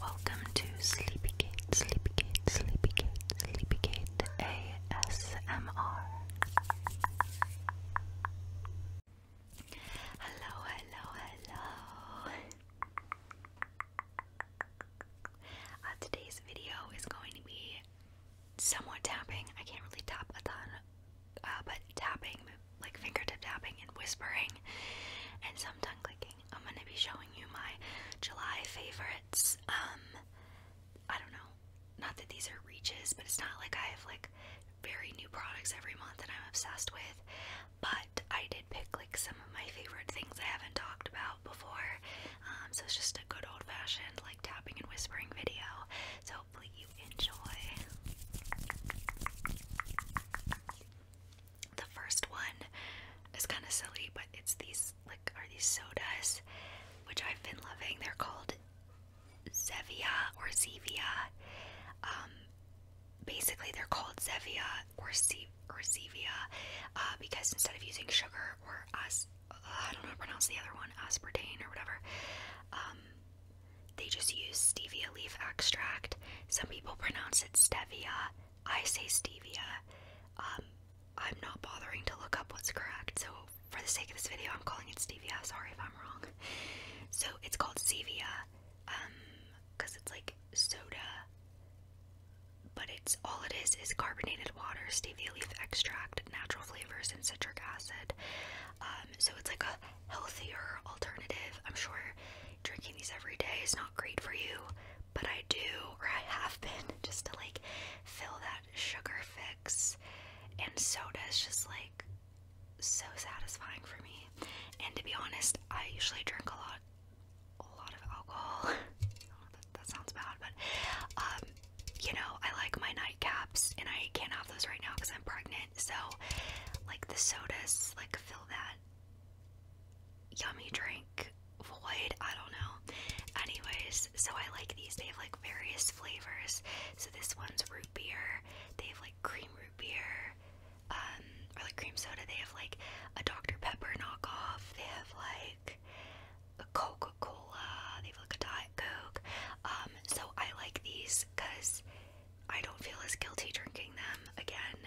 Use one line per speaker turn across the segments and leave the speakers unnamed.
Welcome to Sleepygate, Sleepygate, Sleepygate, Sleepygate ASMR. Hello, hello, hello. Uh, today's video is going to be somewhat tapping. I can't really tap a ton, uh, but tapping, like fingertip tapping and whispering, and some tongue clicking. I'm gonna be showing you my July favorites. Um, I don't know. Not that these are reaches, but it's not like I have like very new products every month that I'm obsessed with. But I did pick like some of my favorite things I haven't talked about before. Um, so it's just a good old fashioned like tapping and whispering video. So hopefully you enjoy. The first one is kind of silly, but it's these like are these sodas, which I've been loving. They're called Zevia or Zevia. Um, basically, they're called Zevia or Zevia uh, because instead of using sugar or as uh, I don't know pronounce the other one, aspartame or whatever, um, they just use stevia leaf extract some people pronounce it stevia. I say stevia. Um, I'm not bothering to look up what's correct, so for the sake of this video, I'm calling it stevia. Sorry if I'm wrong. So it's called stevia, because um, it's like soda, but it's all it is is carbonated water, stevia leaf extract, natural flavors, and citric acid. Um, so it's like a healthier alternative. I'm sure drinking these every day is not great for you, but I do, or I have been, just to like fill that sugar fix. And soda is just like so satisfying for me. And to be honest, I usually drink a lot, a lot of alcohol. that, that sounds bad, but um, you know, I like my nightcaps, and I can't have those right now because I'm pregnant. So, like the sodas, like fill that yummy drink void. I don't know. Anyways, so I like these. They have like various flavors. So this one's root beer. They have like cream root beer, um, or like cream soda. They have like a Dr. Pepper knockoff. They have like a Coca-Cola. They have like a Diet Coke. Um, so I like these because I don't feel as guilty drinking them again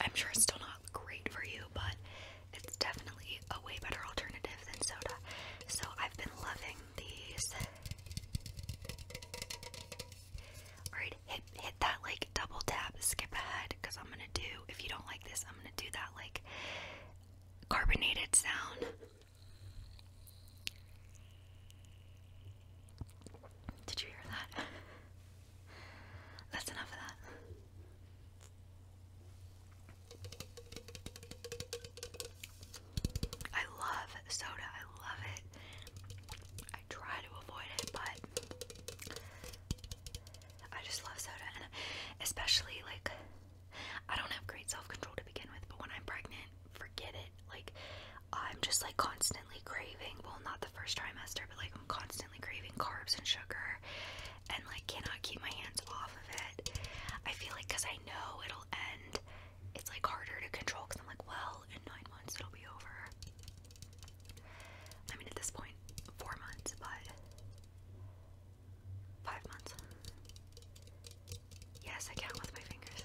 I'm sure it's still not great for you, but it's definitely a way better alternative than soda. So I've been loving these. Alright, hit hit that like double tap, skip ahead, because I'm gonna do if you don't like this, I'm gonna do that like carbonated sound. Did you hear that? That's enough of that. I love soda. I love it. I try to avoid it, but I just love soda. And especially, like, I don't have great self control to begin with, but when I'm pregnant, forget it. Like, I'm just like constantly craving, well, not the first trimester, but like I'm constantly craving carbs and sugar and like cannot keep my hands off of it. I feel like because I know it'll end, it's like harder to control because I'm like, well, in nine months it'll be over. I mean, at this point, four months, but five months. Yes, I count with my fingers.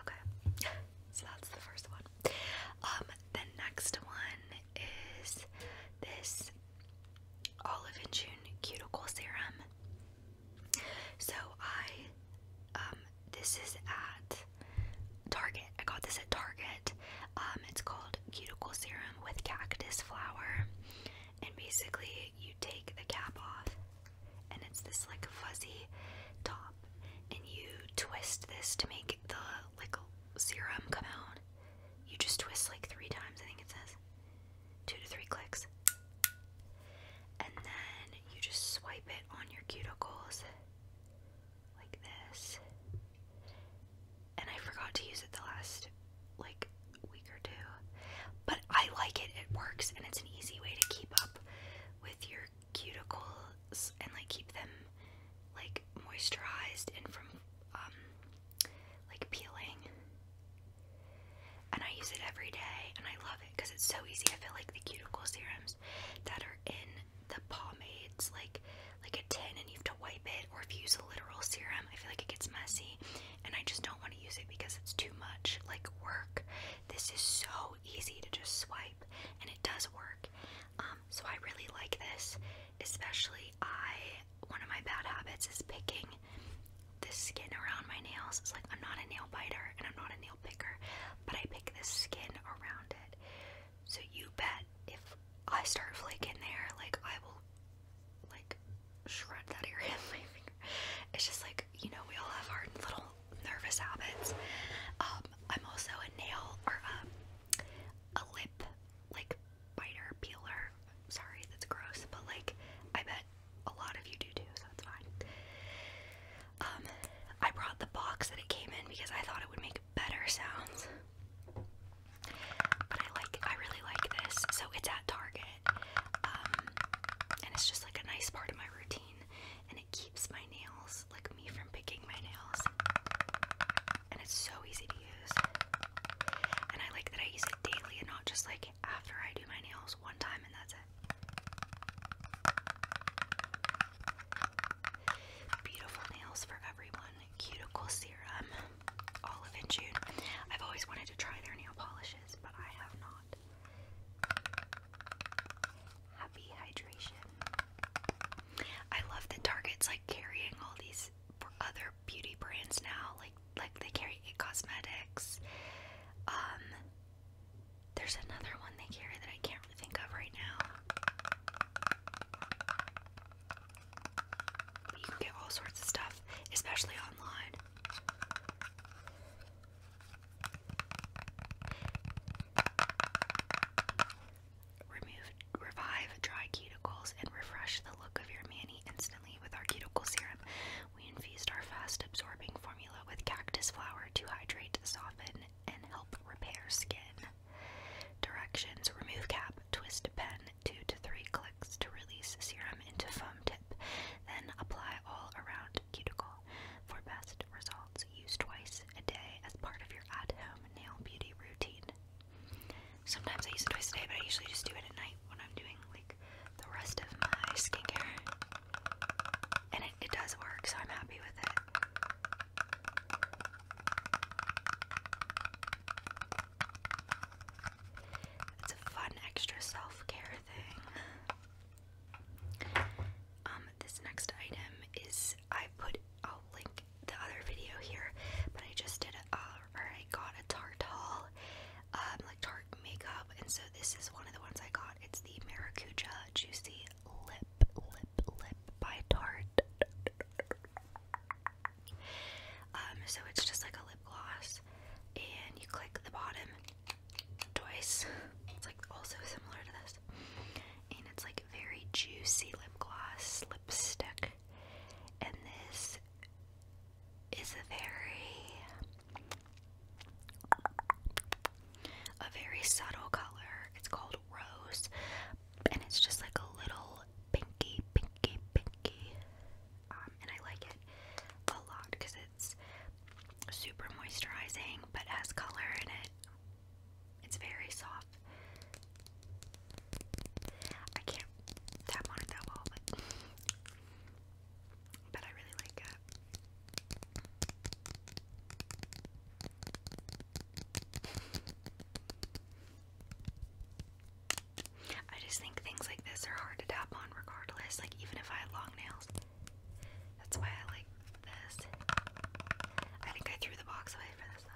Okay, so that's the first one. Um, the next one is this Olive and June Cuticle Serum. So I, um, this is at Target. I got this at Target. Um, it's called Cuticle Serum with Cactus Flower and basically you take the cap off and it's this like fuzzy top and you twist this to make the like serum come out you just twist like three times i think it says two to three clicks and then you just swipe it on your cuticles like this and i forgot to use it the last like week or two. But I like it, it works, and it's an easy way to keep up with your cuticles and like keep them like moisturized and from um, like peeling. And I use it every day and I love it because it's so easy. I feel like the cuticle serums that are in the pomades, like like a tin and you have to wipe it, or if you use a literal serum, I feel like it gets messy and I just don't want to use it because it's too much like work. This is so easy to just swipe and it does work. Um, so I really like this, especially I one of my bad habits is picking this skin around my nails. It's like I'm not a nail biter and I'm not a nail picker, but I pick this skin around it. So you bet if I start flaking there, like I will like shred that area of my finger. It's just like, you know, we all have our little nervous habits. Um, I'm also a nail or a, um, a lip like biter peeler. Sorry, that's gross, but like I bet a lot of you do too, so that's fine. Um, I brought the box that it came in because I thought it would make better sounds. But I like I really like this. So it's at Target. Um, and it's just like a nice part of my routine, and it keeps my nails, like me, from picking my nails. And it's so easy to use. And I like that I use it daily and not just like after I do my nails one time and that's it. Beautiful nails for everyone. Cuticle serum olive and June. I've always wanted to try their nail polishes, but I have not. Happy hydration. I love that Target's like carrying all these other beauty brands now. Like like they carry Cosmetics. Um there's another one they carry that I can't think of right now. you can get all sorts of stuff, especially online. Remove, revive dry cuticles and refresh the look of your mani instantly with our cuticle serum. We infused our fast absorbing formula with cactus flower to hydrate, soften, and help repair skin. Directions Remove cap, twist pen, two to three clicks to release serum into foam tip, then apply all around cuticle. For best results, use twice a day as part of your at-home nail beauty routine. Sometimes I use it twice a day, but I usually just do it at night when I'm doing like the rest of my skincare. And it, it does work, so I'm happy with it. It's a fun extra self-care thing. Um, this next item is I put I'll link the other video here, but I just did it uh, or I got a Tarte haul, um, like Tarte makeup, and so this is one of the ones I got. It's the Maracuja Juicy Lip Lip Lip by Tarte. Um, so it's just like a lip gloss, and you click the bottom twice. It's like also similar to this, and it's like very juicy lip gloss lipstick. And this is a very, a very subtle color. It's called Rose, and it's just like a little pinky, pinky, pinky um, and I like it a lot because it's super moisturizing but has color in it. It's very soft. I can't tap on it that well, but I really like it. I just think things like this are hard to tap on regardless, like even if I had long nails. That's why I like this. I think I threw the box away for this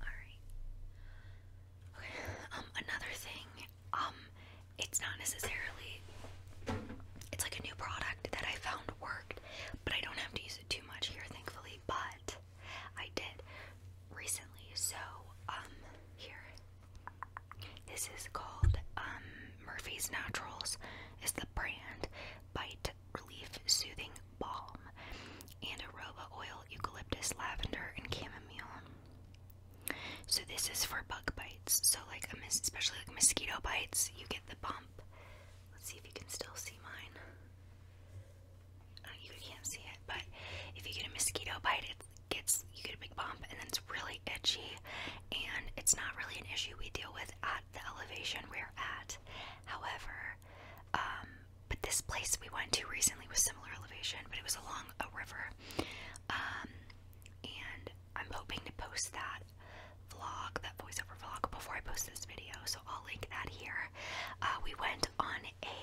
Alright. Okay. Um, another thing, um, it's not necessarily it's like a new product that I found worked, but I don't have to use it too much here, thankfully, but I did recently, so um here. This is called um Murphy's Naturals is the brand by relief soothing balm, and aroba oil, eucalyptus, lavender, and chamomile. So this is for bug bites. So like especially like mosquito bites, you get the bump. Let's see if you can still see mine. Uh, you can't see it, but if you get a mosquito bite, it gets you get a big bump, and then it's really itchy, and it's not really an issue we deal with at the elevation we're at. However, um, but this place we went to recently was similar elevation, but it was along a river. Um, and I'm hoping to post that vlog, that voiceover vlog, before I post this video, so I'll link that here. Uh, we went on a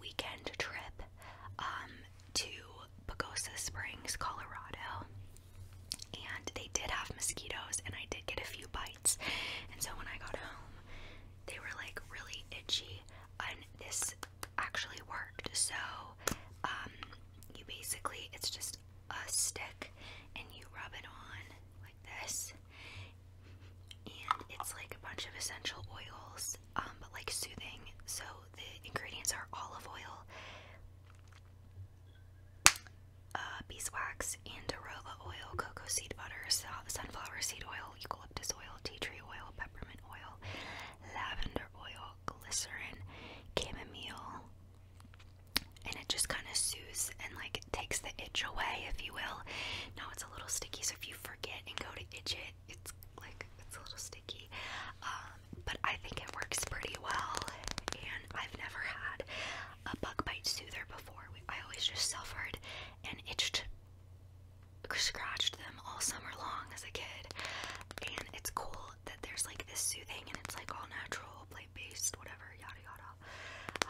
weekend trip um, to Pagosa Springs, Colorado, and they did have mosquitoes, and I did get a few bites, and so when I got home, they were like really itchy, and this actually worked. So, um, you basically it's just a stick, and you rub it on like this, and it's like a bunch of essential oils, um, but like soothing. So the ingredients are olive oil uh, beeswax, andorola oil, cocoa seed butter, sunflower seed oil, eucalyptus oil, tea tree oil, peppermint oil, lavender oil, glycerin, chamomile, and it just kind of soothes and like it takes the itch away, if you will. Now it's a little sticky, so if you forget and go to itch it, it's like it's a little sticky. Um, but I think it works pretty well, and I've never had a bug bite soother before. I always just suffered and itched, scratched them all summer long as a kid. And it's cool that there's like this soothing and it's like all natural, plant based, whatever, yada yada.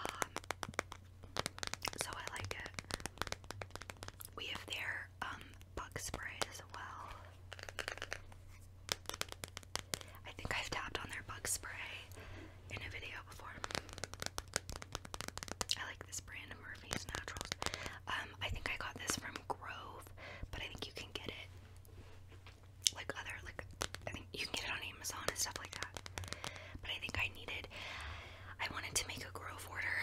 Um, so I like it. We have their um, bug sprays as well. I think I've tapped on their bug spray in a video before. I like this brand Murphy's Naturals. Um, I think I got this from Grove, but I think you can get it like other like I think you can get it on Amazon and stuff like that. But I think I needed I wanted to make a Grove order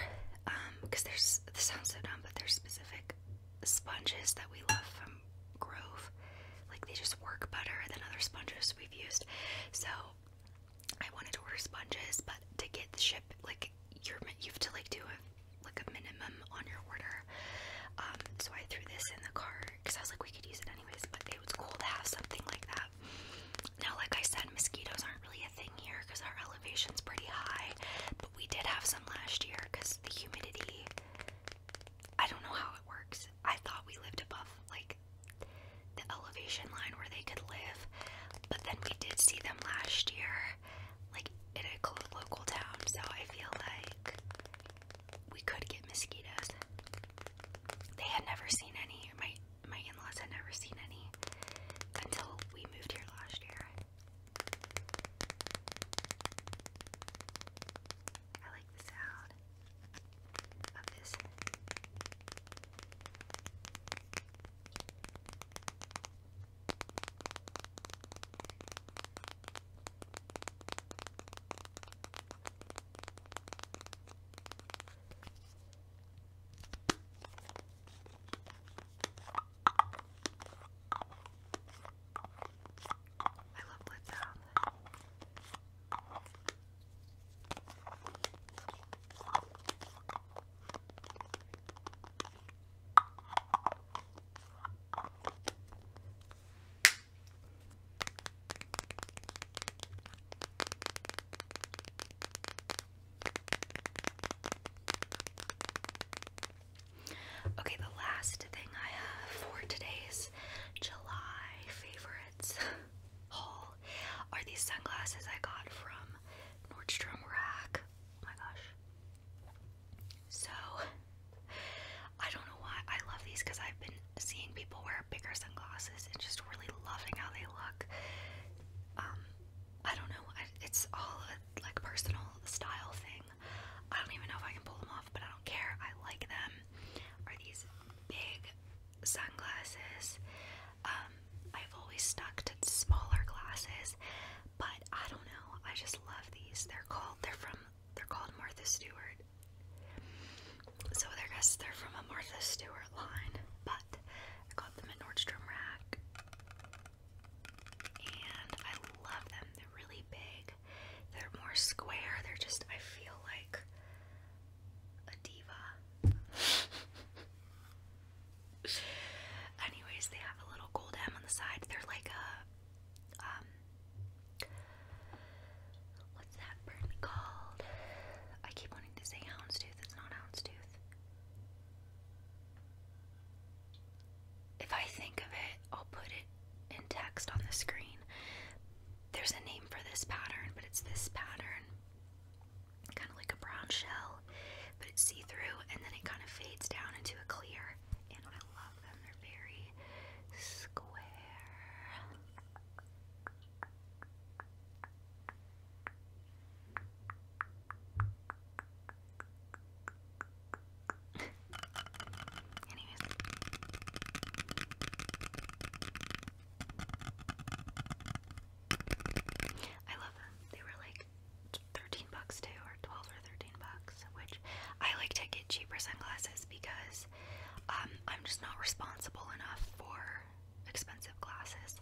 because um, there's this sounds so dumb, but there's specific sponges that we love from grove. Like they just work better than other sponges we've used. So I wanted to order sponges, but to get the ship, like you're you have to like do a like a minimum on your order. Um, so I threw this in the car because I was like we could use it anyways. But it was cool to have something like that. Now, like I said, mosquitoes aren't really a thing here because our elevation's pretty high, but we did have some last year because the humidity I don't know how it works. I thought we lived above like the elevation line where they could live, but then we did see them last year, like in a local town, so I feel like we could get mosquitoes. They had never seen any. My my in-laws had never seen any until we moved here last year. I like the sound of this. Okay, the last thing I have for today's July favorites haul are these sunglasses I got from Nordstrom Rack. Oh my gosh. So, I don't know why I love these because I've been seeing people wear bigger sunglasses and just really loving how they look. Um, I don't know. it's all a, like personal style thing. I don't even know if I can pull them off, but I don't care. I like them. Are these big sunglasses? Um, I've always stuck to smaller glasses, but I don't know. I just love these. They're called. They're from. They're called Martha Stewart. So I guess they're from a Martha Stewart line, but I got them at Nordstrom Rack, and I love them. They're really big they're more square. They're just, I feel like a diva. Anyways, they have a little gold M on the side. They're like a, um, what's that brand called? I keep wanting to say houndstooth. It's not houndstooth. If I think of it, I'll put it in text on the screen. There's a name for this pattern, but it's this pattern. Kind of like a brown shell, but it's see through and then it kind of fades down into a clear. And I love them, they're very square. I love them. They were like 13 bucks too, or 12 or 13 bucks, which I like to get cheaper sunglasses because um, I'm just not responsible enough for expensive glasses.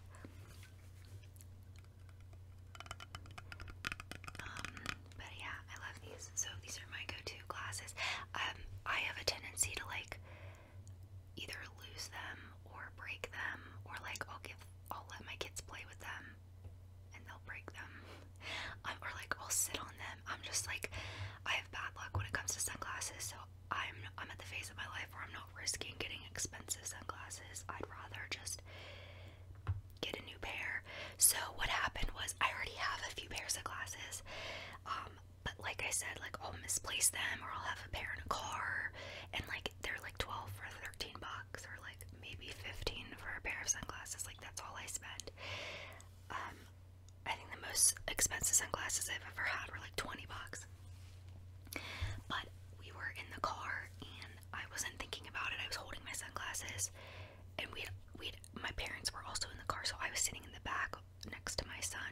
Um, but yeah, I love these. So these are my go-to glasses. Um, I have a tendency to like either lose them or break them, or like I'll give, I'll let my kids play with them, and they'll break them, um, or like I'll sit on them. I'm just like, I have bad luck when it comes to sunglasses. So I'm, I'm at the phase of my life where I'm not risking getting expensive sunglasses. I'd rather just get a new pair. So what happened was I already have a few pairs of glasses. Um, but like I said, like I'll misplace them or I'll have a pair in a car and like they're like 12 or 13 bucks or like maybe 15 for a pair of sunglasses. Like that's all I spend. Um, I think the most expensive sunglasses I've ever had were like 20 bucks. But we were in the car and I wasn't thinking about it. I was holding my sunglasses and we had, we had my parents were also in the car, so I was sitting in the back next to my son,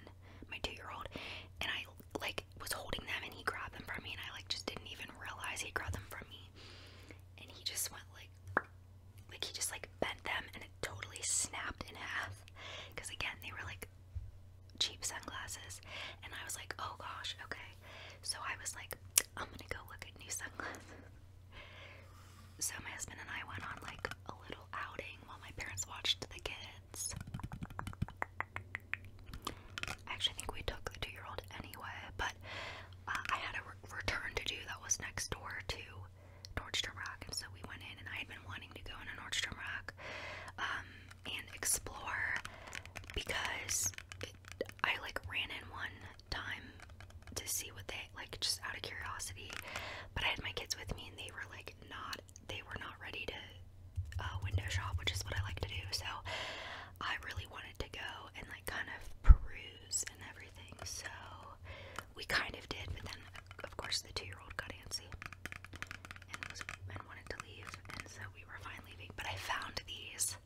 my two-year-old, and I like was holding them, and he grabbed them from me, and I like just didn't even realize he grabbed them from me, and he just went like, like he just like bent them, and it totally snapped in half, because again they were like cheap sunglasses, and I was like, oh gosh, okay, so I was like, I'm gonna go look at new sunglasses. So my husband and I went on like a little outing while my parents watched the kids. I actually think we took the two-year-old anyway, but uh, I had a return to do that was next door to Nordstrom Rack, and so we went in, and I had been wanting to go a Nordstrom Rack um, and explore because I like ran in one time to see what they like just out of curiosity, but I had my kids with me and they were like not they were not ready to uh, window shop, which is what I like to do. So I really wanted to go and like kind of peruse and everything. So we kind of did, but then of course the two-year-old got antsy and was and wanted to leave, and so we were fine leaving. But I found these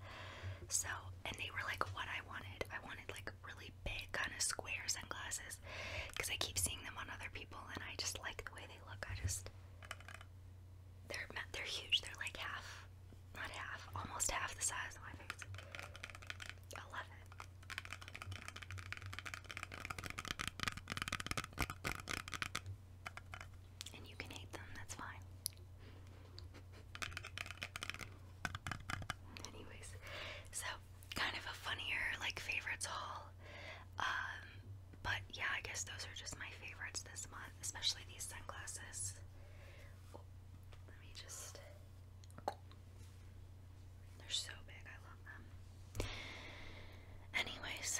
so, and they were like what I wanted. I wanted like really big kind of square sunglasses because I keep seeing them on other people and I just like the way they look. I just they're they're huge. They're like half, not half, almost half the size of my face. I love it. And you can hate them, that's fine. Anyways, so kind of a funnier like favorites haul. Um, but yeah, I guess those are just my favorites this month, especially these sunglasses. let me just. They're so big, I love them. Anyways,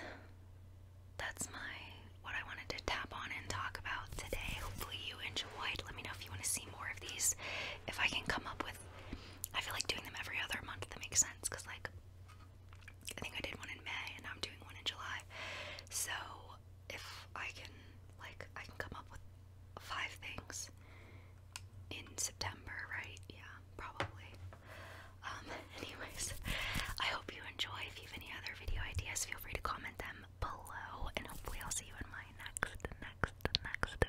that's my what I wanted to tap on and talk about today. Hopefully, you enjoyed. Let me know if you want to see more of these. If I can come up with, I feel like doing them every other month. That makes sense because like I think I did one in May and I'm doing one in July. So if I can like I can come up with five things in September, right? Yeah, probably. Um, anyways, I hope you enjoy. If you have any other video ideas, feel free to comment them below, and hopefully, I'll see you in my next, next, next video.